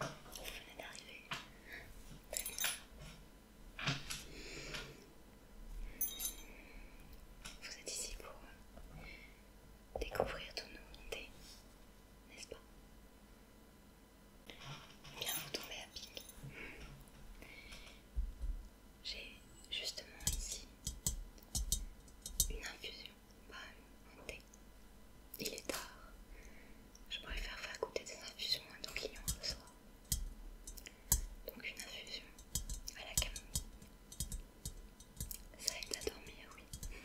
Vous venez d'arriver. Très bien. Vous êtes ici pour découvrir tout nouveau thé, n'est-ce pas Bien, vous tombez à pic. J'ai justement ici une infusion, pas un thé. Il est tard. Je préfère faire goûter des infusions à nos le soir. Donc une infusion à la camomille. Ça aide à dormir, oui.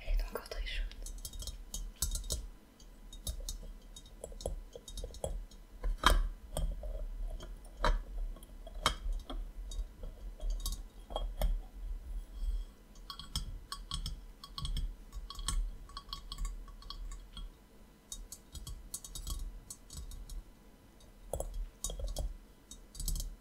Elle est encore très chaude.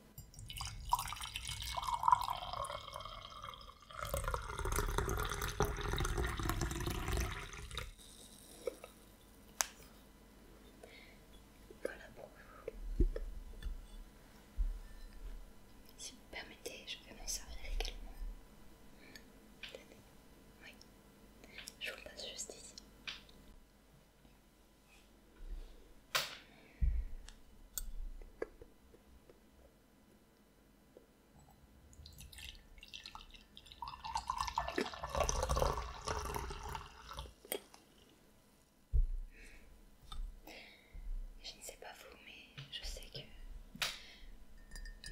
Voilà pour vous. Si vous permettez, je vais m'en servir également. Oui, je vous passe juste ici. Je ne sais pas vous, mais je sais que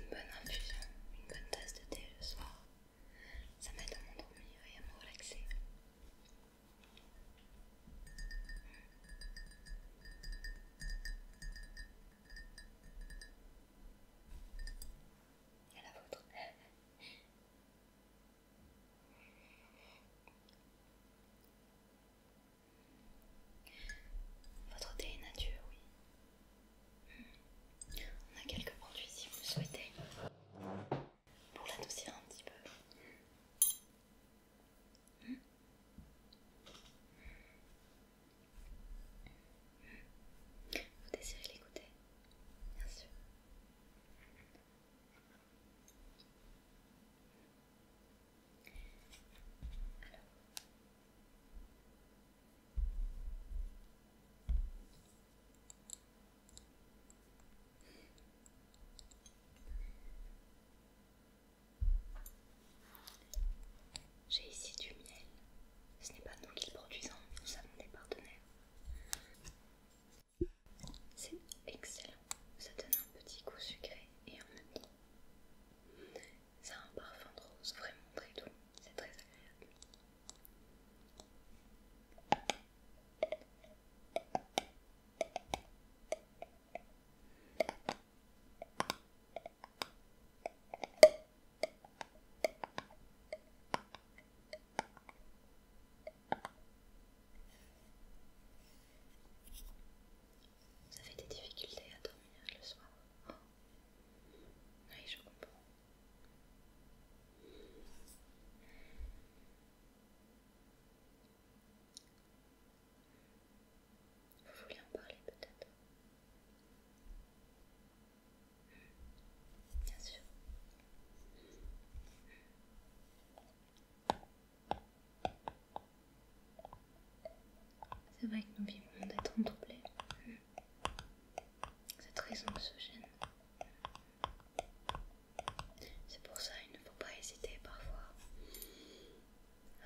une bonne infusion, une bonne tasse de thé le soir, ça m'aide à m'endormir et à me relaxer la Votre thé nature, oui. On a quelques produits si vous le souhaitez. Pour l'adoucir un petit peu. Vous désirez l'écouter Bien sûr. J'ai ici du miel. Ce n'est pas nous qui le produisons, nous sommes des partenaires. C'est excellent. Ça donne un petit goût sucré et un même Ça a un parfum de rose vraiment très doux. C'est très agréable. Vous avez des difficultés à dormir le soir Oui, je comprends. Vous voulez en parler peut-être hmm. Bien sûr. C'est vrai que nous vivons d'être temps hmm. Cette raison se gêne. C'est pour ça il ne faut pas hésiter parfois euh,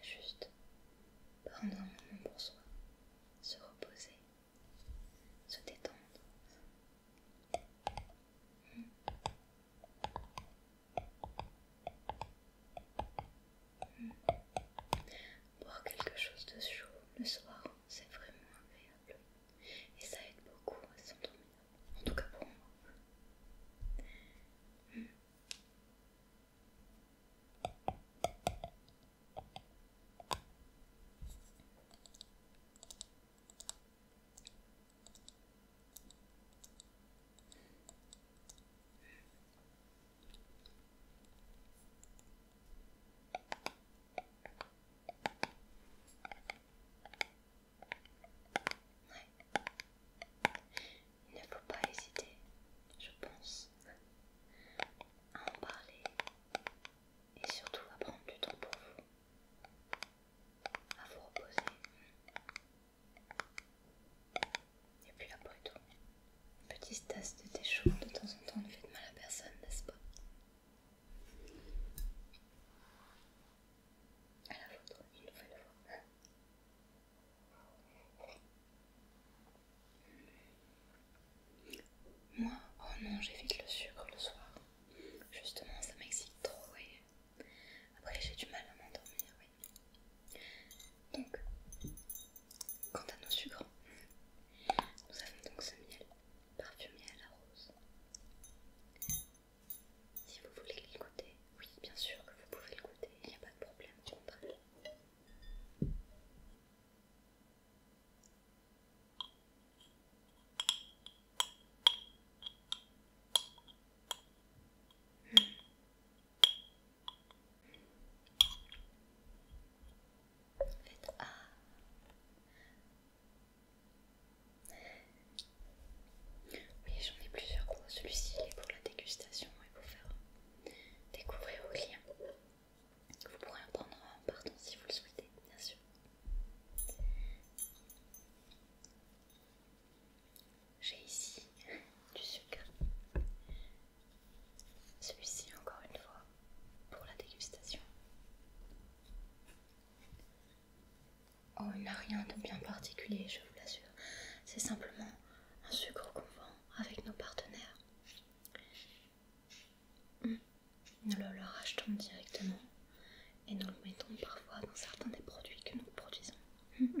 juste prendre un moment pour soi, se reposer, se détendre. Boire quelque chose de chaud le soir, c'est vraiment agréable et ça aide beaucoup à s'endormir, en tout cas pour moi. Ouais. Il ne faut pas hésiter, je pense, à en parler et surtout à prendre du temps pour vous, à vous reposer. Et puis après tout, une petite tasse de thé chaud de temps en temps ne fait de mal à personne, n'est-ce pas à la vôtre, une fois. Moi, oh non, j'évite le sucre le soir. Justement, ça m'excite trop oui. après j'ai du mal à m'endormir. Oui. Donc, quant à nos sucres, nous avons donc ce miel parfumé à la rose. Si vous voulez le goûter, oui, bien sûr que vous pouvez le goûter, il n'y a pas de problème, du contraire. Oui, j'en ai plusieurs Celui-ci, est pour la dégustation et pour faire découvrir au clients. Vous pourrez en prendre un partant, si vous le souhaitez, bien sûr. J'ai ici du sucre. Celui-ci, encore une fois, pour la dégustation. Oh, il n'a rien de bien particulier, je vous l'assure. C'est simplement un sucre qu'on vend avec nos partenaires. Hmm. Nous le leur achetons directement et nous le mettons parfois dans certains des produits que nous produisons. Hmm, hmm.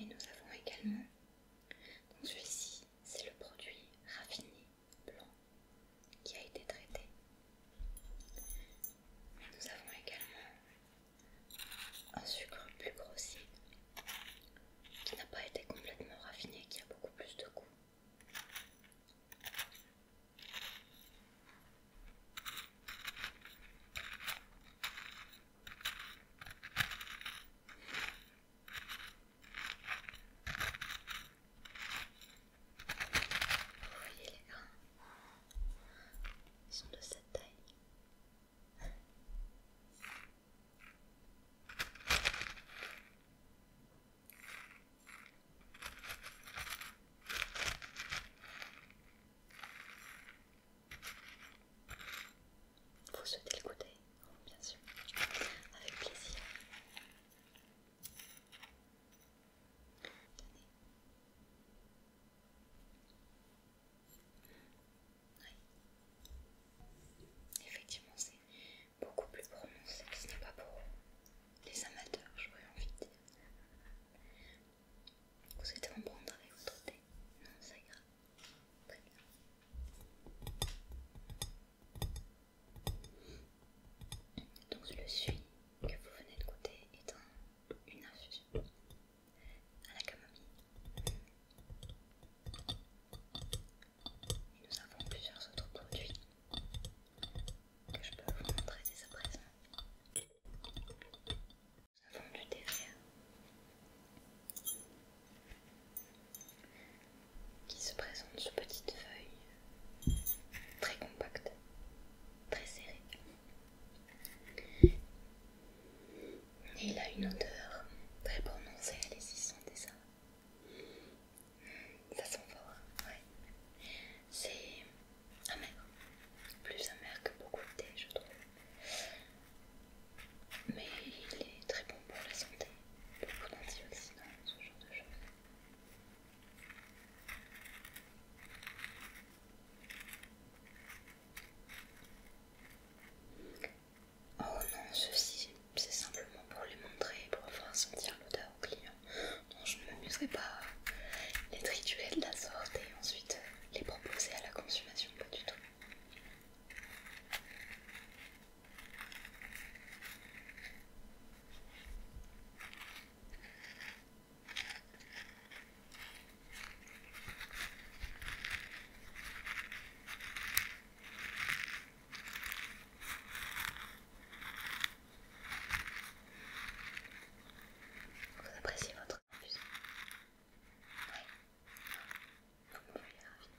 Et nous avons également, donc celui-ci, c'est le produit raffiné blanc qui a été traité. nous avons également un sucre plus grossier qui n'a pas été complètement raffiné, qui a beaucoup plus de goût voyez les grains Ils sont de cette taille. Vous souhaitez le goûter Bien sûr, avec plaisir. Effectivement, c'est beaucoup plus prononcé. Ce n'est pas pour les amateurs, j'aurais envie de dire. Vous êtes en prendre avec votre thé Non, ça ira. Très bien. Donc le suie que vous venez de goûter est une infusion à la camomille nous avons plusieurs autres produits que je peux vous montrer dès à présent. Nous avons du vert, qui se présente sous petites feuilles très compactes, très serrées. Et il a une odeur très prononcée, allez-y, sentez ça. Ça sent fort, ouais. C'est amer, plus amer que beaucoup de thé, je trouve. Mais il est très bon pour la santé, beaucoup d'antioxydants, ce genre de choses. Oh non, ceci, c'est simplement pour les montrer, pour faire sentir l'odeur au client. Donc je ne m'amuserai pas à les triturer de la sorte et ensuite euh, les proposer à la consommation, pas du tout. Vous appréciez votre infusion Oui. Vous me voyez ravie.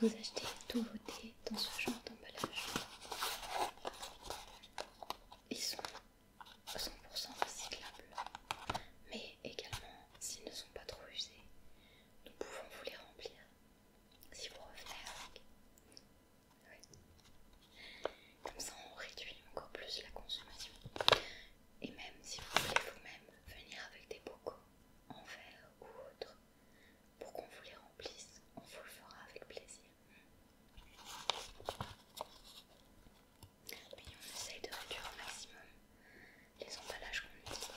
Vous achetez tous vos thés dans ce genre d'emballage. Ils sont 100% recyclables, mais également s'ils ne sont pas trop usés, nous pouvons vous les remplir si vous revenez avec. Comme ça, on réduit encore plus la consommation. Et même si vous voulez vous-même venir avec des bocaux en verre ou autre, pour qu'on vous les remplisse, on vous le fera avec plaisir. Et on essaye de réduire au maximum les emballages qu'on utilise.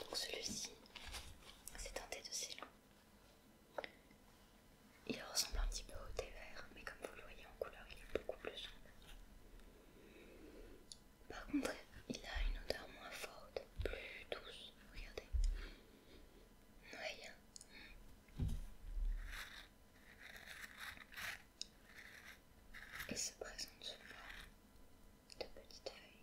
Donc celui-ci, c'est teinté de cylon il ressemble un petit peu au thé vert, mais comme vous le voyez en couleur, il est beaucoup plus sombre. Par contre, il a une odeur moins forte, plus douce. Regardez. Ouais. Hein. Et se présente sous de petites feuilles.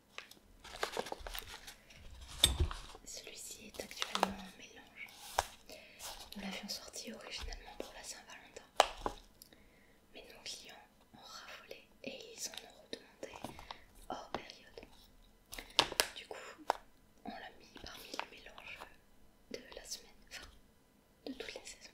Celui-ci est actuellement en mélange. Nous l'avions sorti originalement pour la Saint-Valentin. Mais nos clients ont raffolé et ils en ont redemandé hors période. Du coup, on l'a mis parmi les mélanges de la semaine, enfin, de toutes les saisons.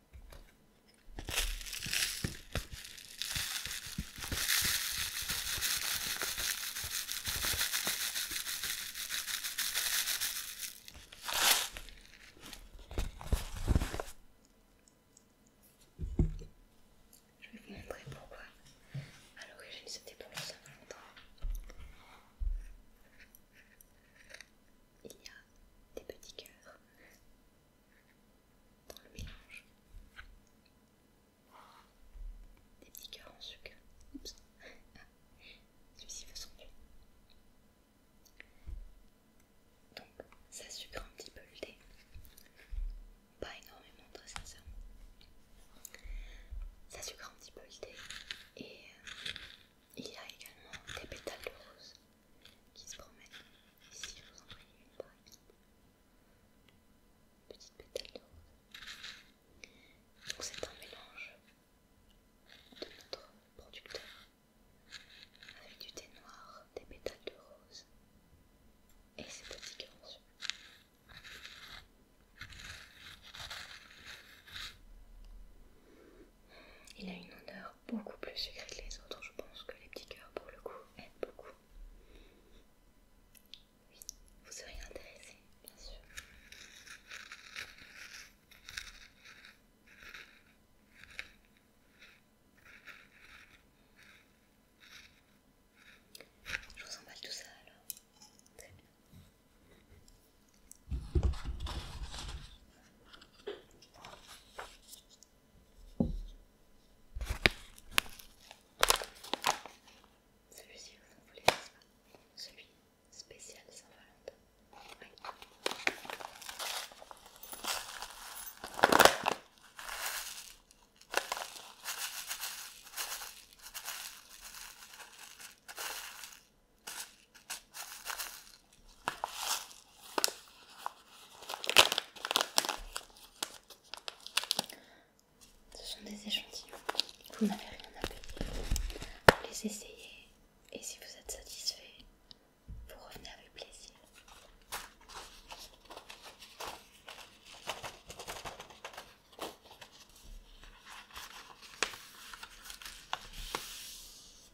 Je vais vous montrer pourquoi. À l'origine, c'était pour le Saint-Valentin. Il y a des petits cœurs dans le mélange. Des petits cœurs en sucre. Oups. Ah, celui-ci va doute. Donc, ça sucre un petit peu le thé. Pas énormément, très sincèrement. Ça sucre un petit peu le thé. Et euh, il y a également des pétales de rose qui se promène. Ici, je vous en prie, une par Petite pétale de rose. Donc, c'est un mélange de notre producteur avec du thé noir, des pétales de rose et ses petites garçons. Il a une odeur beaucoup plus sucré que les autres. Je pense que les petits cœurs, pour le coup, aiment beaucoup. Oui, vous serez intéressé, bien sûr. Je vous emballe tout ça alors. Très bien. Celui-ci vous en voulez, nest pas Celui spécial Saint-Valentin. Ce sont des échantillons, vous n'avez rien à payer. Vous les essayez et si vous êtes satisfait, vous revenez avec plaisir.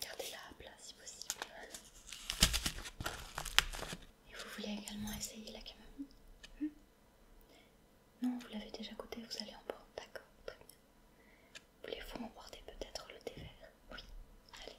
Gardez-la à plat si possible. Et vous voulez également essayer la camomille hmm Non, vous l'avez déjà goûtée, vous allez en prendre, d'accord, très bien. Voulez-vous emporter peut-être le thé vert Oui, allez.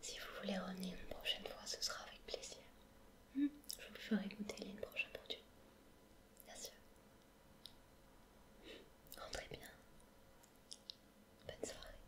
Si vous voulez revenir une prochaine fois, ce sera avec plaisir. Hmm? Je vous ferai goûter les pour produits. Bien sûr. Rentrez bien. Bonne soirée.